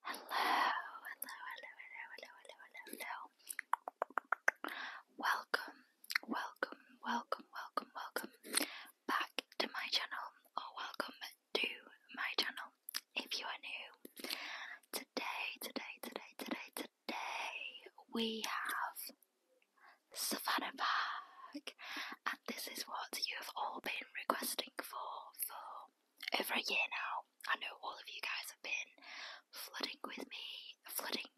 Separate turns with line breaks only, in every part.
Hello, hello, hello, hello, hello, hello, hello, hello. Welcome, welcome, welcome, welcome, welcome back to my channel, or welcome to my channel if you are new. Today, today, today, today, today, we have Savannah back, and this is what you have all been requesting for for over a year now. I know all of you guys have been flooding with me, flooding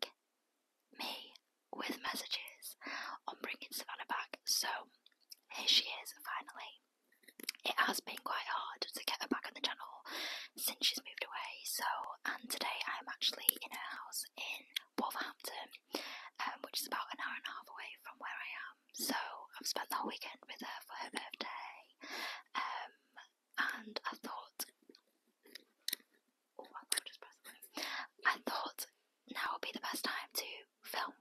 me with messages on bringing Savannah back. So here she is finally. It has been quite hard to get her back on the channel since she's moved away. So, and today I'm actually in her house in Wolverhampton, um, which is about an hour and a half away from where I am so I've spent the whole weekend with her for her birthday, um, and I thought, oh, I just pressed the I thought now would be the best time to film.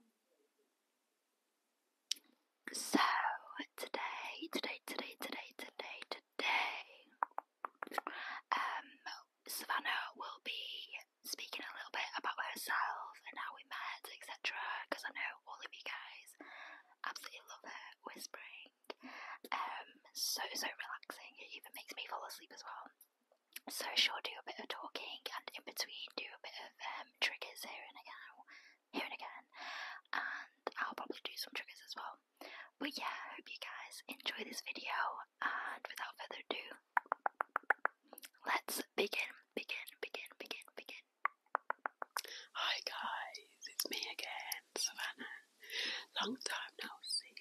So today, today, today, today, today, today, um, Savannah will be speaking a little bit about herself and how we met, etc. Because I know all of you guys. Absolutely love her whispering. Um, so so relaxing. It even makes me fall asleep as well. So she'll do a bit of talking and in between do a bit of um, triggers here and again, here and again, and I'll probably do some triggers as well. But yeah, hope you guys enjoy this video, and without further ado,
let's begin, begin, begin, begin, begin. Hi guys, it's me again, Savannah. Long time no see.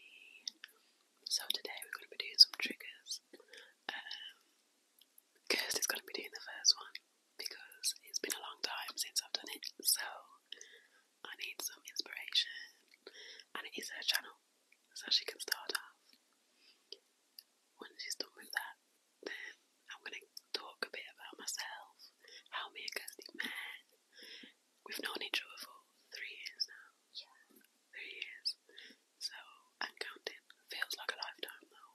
So today we're going to be doing some triggers. Kirsty's um, going to be doing the first one because it's been a long time since I've done it. So I need some inspiration, and it is her channel, so she can start off. When she's done with that, um, I'm going to talk a bit about myself, how me and Kirsty met. We've known each other for three years now. Yeah. Three years. So, i counting. Feels like a lifetime though.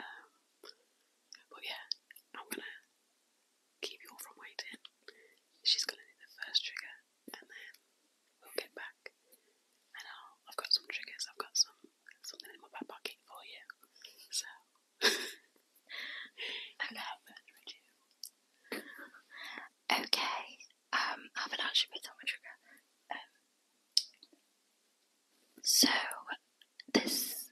Um, but yeah, I'm going to keep you all from waiting. She's going to do the first trigger and then We'll get back. I uh, I've got some triggers. I've got some
something in my back pocket for you. So okay. Um, I have actually picked on my trigger. Um, so this,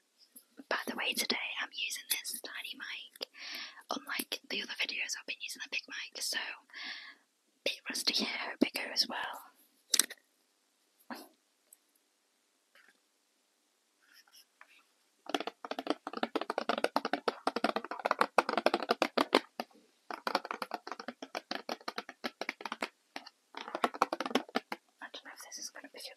by the way, today I'm using this tiny mic. Unlike the other videos, I've been using a big mic. So big rusty hair bigger as well. I
don't know if this is going to pick it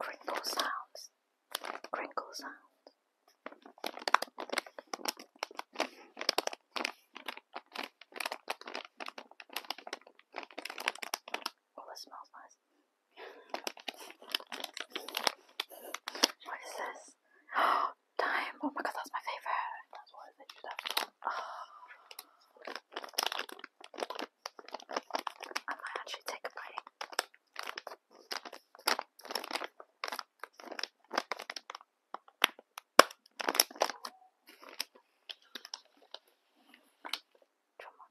Crinkle sounds. Crinkle sounds.
Oh, that smells nice. What is this? Oh, time! Oh my god, that's my favorite. I might actually take a bite. Come on.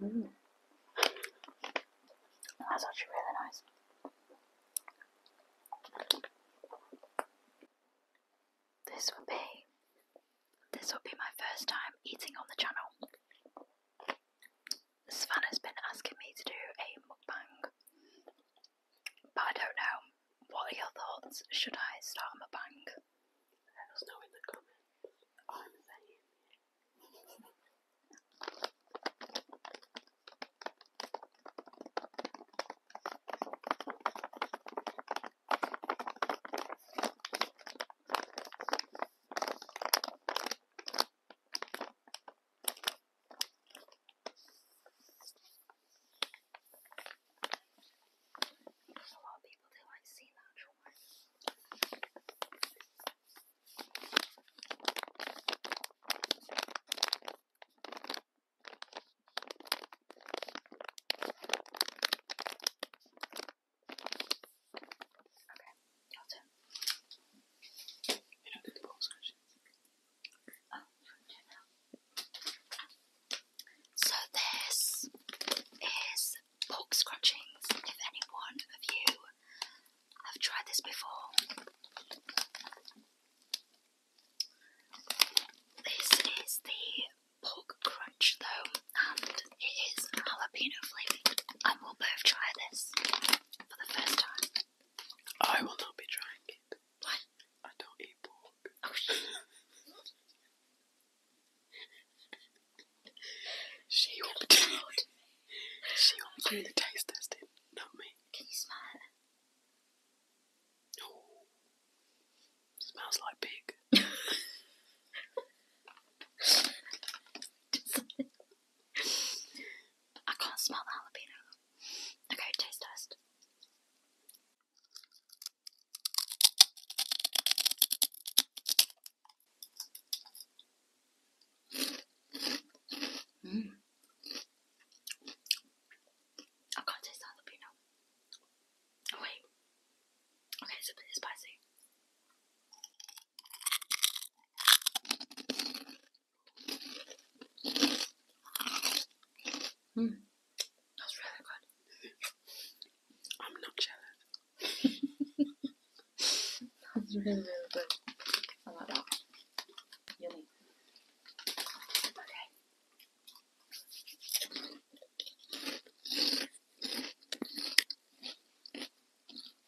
Mm. That's actually really nice. This would be this will be my first time eating on the channel. Savannah's been asking me to do a mukbang, but I don't know. What are your thoughts? Should I start a mukbang? Let us know in the comments. There's a lot of people that like seeing natural ones. Okay. Your oh, So this is box scrunchings. If anyone of you have tried this before, this is the pork crunch though, and it is jalapeno flavoured, I will both try this for the first time. I will not be trying
it. Why? I don't eat pork. Oh shit. she will She will be the taste testing, not me. Can you smell it? Oh. Smells like pig.
I can't smell the jalapeno. Okay, taste test. Mm. I can't taste the jalapeno. Oh, wait. Okay, it's spicy.
Mm. That's really good. I'm not jealous. That's really, really good. I like that. Yummy. Okay.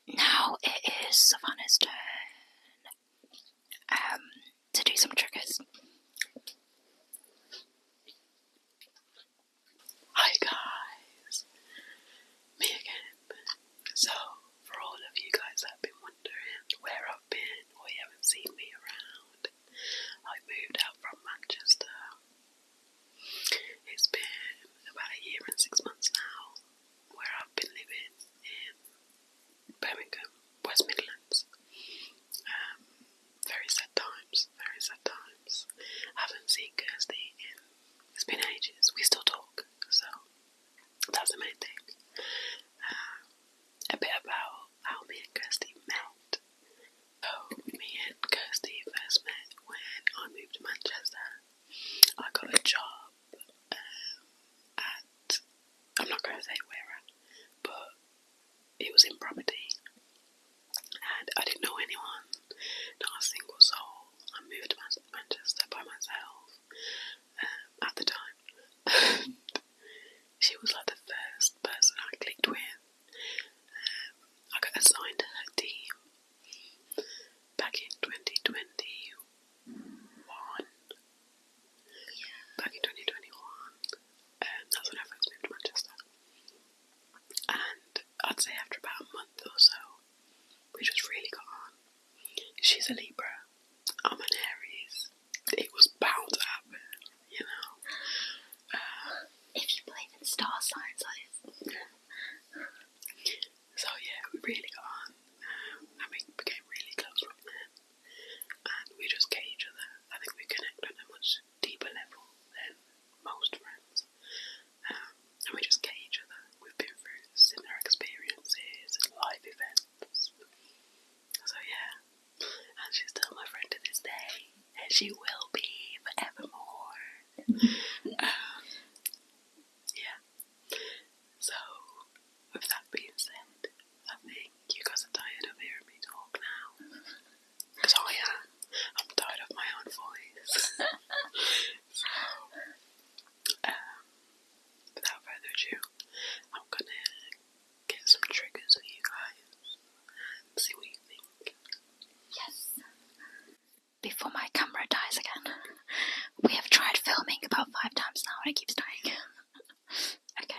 Now it is Savannah's turn um, to do some
triggers. Hi guys, me again. So, for all of you guys that have been wondering where I've been or you haven't seen me around, I moved out from Manchester. It's been about a year and six months now where I've been living in Birmingham, West Midlands. Um, very sad times, very sad times. Haven't seen Kirsty in, it's been ages. We still talk, so that's the main thing. Um, a bit about how me and Kirsty met. So, oh, me and Kirsty first met when I moved to Manchester I got a job um, at, I'm not going to say where but it was in property and I didn't know anyone, not a single soul. I moved to Manchester by myself um, at the time. she was like the first person I clicked with. Um, I got assigned to her team Back in 2021. Back in 2021, um, that's when I first moved to Manchester. And I'd say after about a month or so, we just really got on. She's a Libra, I'm an Aries. It was bound to you know. Uh, if you believe in star signs, I. So yeah, we really got on um, and we became really close from then. And we just get each other. I think we connect on a much deeper level than most friends. Um, and we just get each other. We've been through similar experiences and life events. So yeah. And she's still my friend to this day. And she will be forevermore yeah. So, with that being said, I think you guys are tired of hearing me talk now. Because I am. I'm tired of my own voice. Um, without further ado, I'm gonna get some triggers for you guys see what you think. Yes! before my camera dies
again. we have tried filming about five times now and it keeps dying. okay.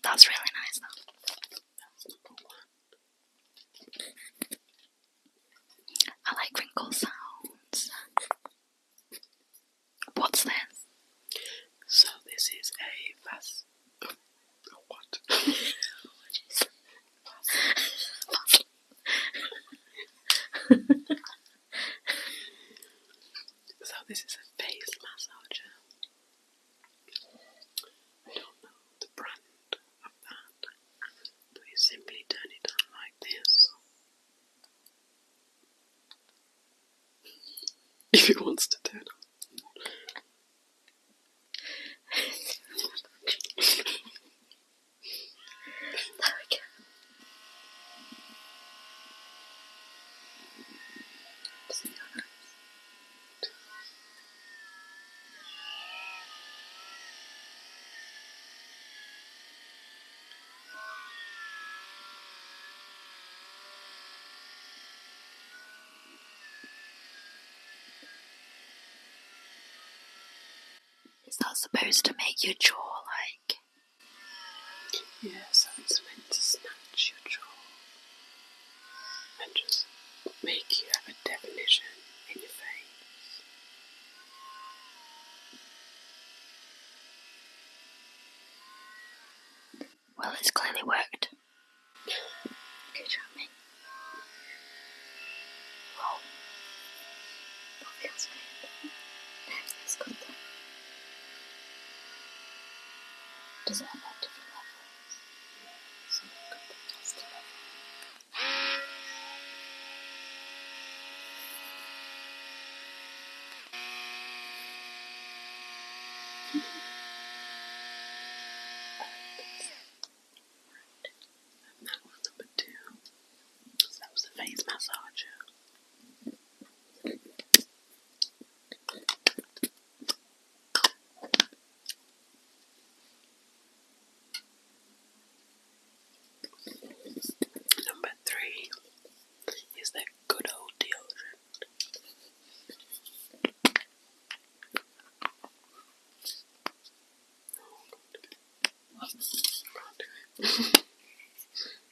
That's really nice though. I like wrinkle
sounds. What's this? So this is a vas. what? so this is a face massager. I don't know the brand of that, but you simply turn it on like this. If he wants to turn on. there we go. Doesn't
Is that supposed
to make your jaw like. Yes, something's meant to snatch your jaw and just make you have a definition in your face.
Well, it's clearly worked.
Good job, mate. Wow. That feels good.
That feels good. Does it have a level? So we'll go back just a little bit. Right. And that was number two. So that was the face massager.
Number three is that good old deodorant.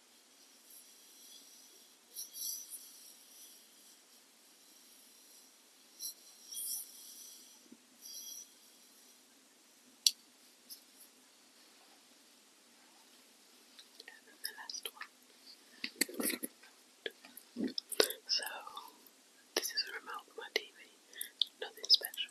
then the So, this is a remote for my TV, nothing special.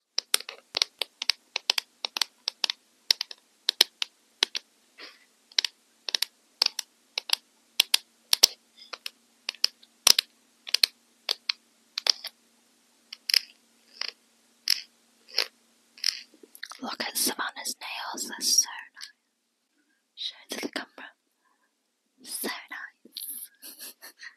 Look at Savannah's nails, they're so nice. Show to the camera. So nice.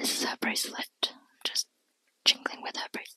This is her bracelet, just jingling with her bracelet.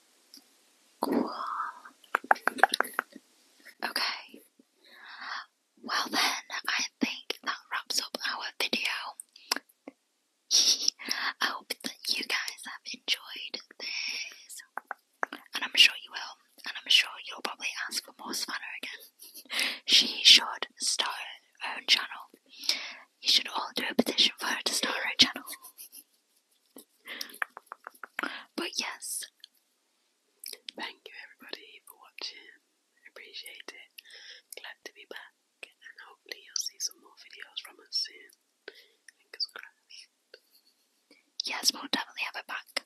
Cool. Okay. Well then, I think that wraps up our video. I hope that you guys have enjoyed this. And I'm sure you will. And I'm sure you'll probably ask for more Savannah again. she should start her own channel. You should all do a petition for her to start her channel. but yes. Thank you everybody for watching. Appreciate it. Glad to be back and hopefully you'll see some more videos from us soon. Yes, we'll definitely have it back.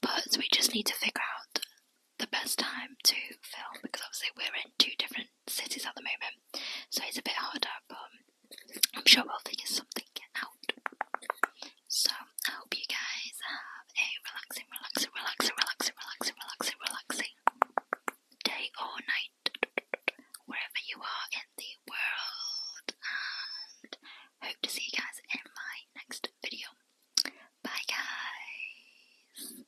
But we just need to figure out the best time to film because obviously we're in two different cities at the moment. So it's a bit harder, but I'm sure we'll figure something out. So I hope you guys have a relaxing, relaxing, relaxing, relaxing, relaxing, relaxing, relaxing day or night, wherever you are in the world, and hope to see you guys in my next video. Bye, guys.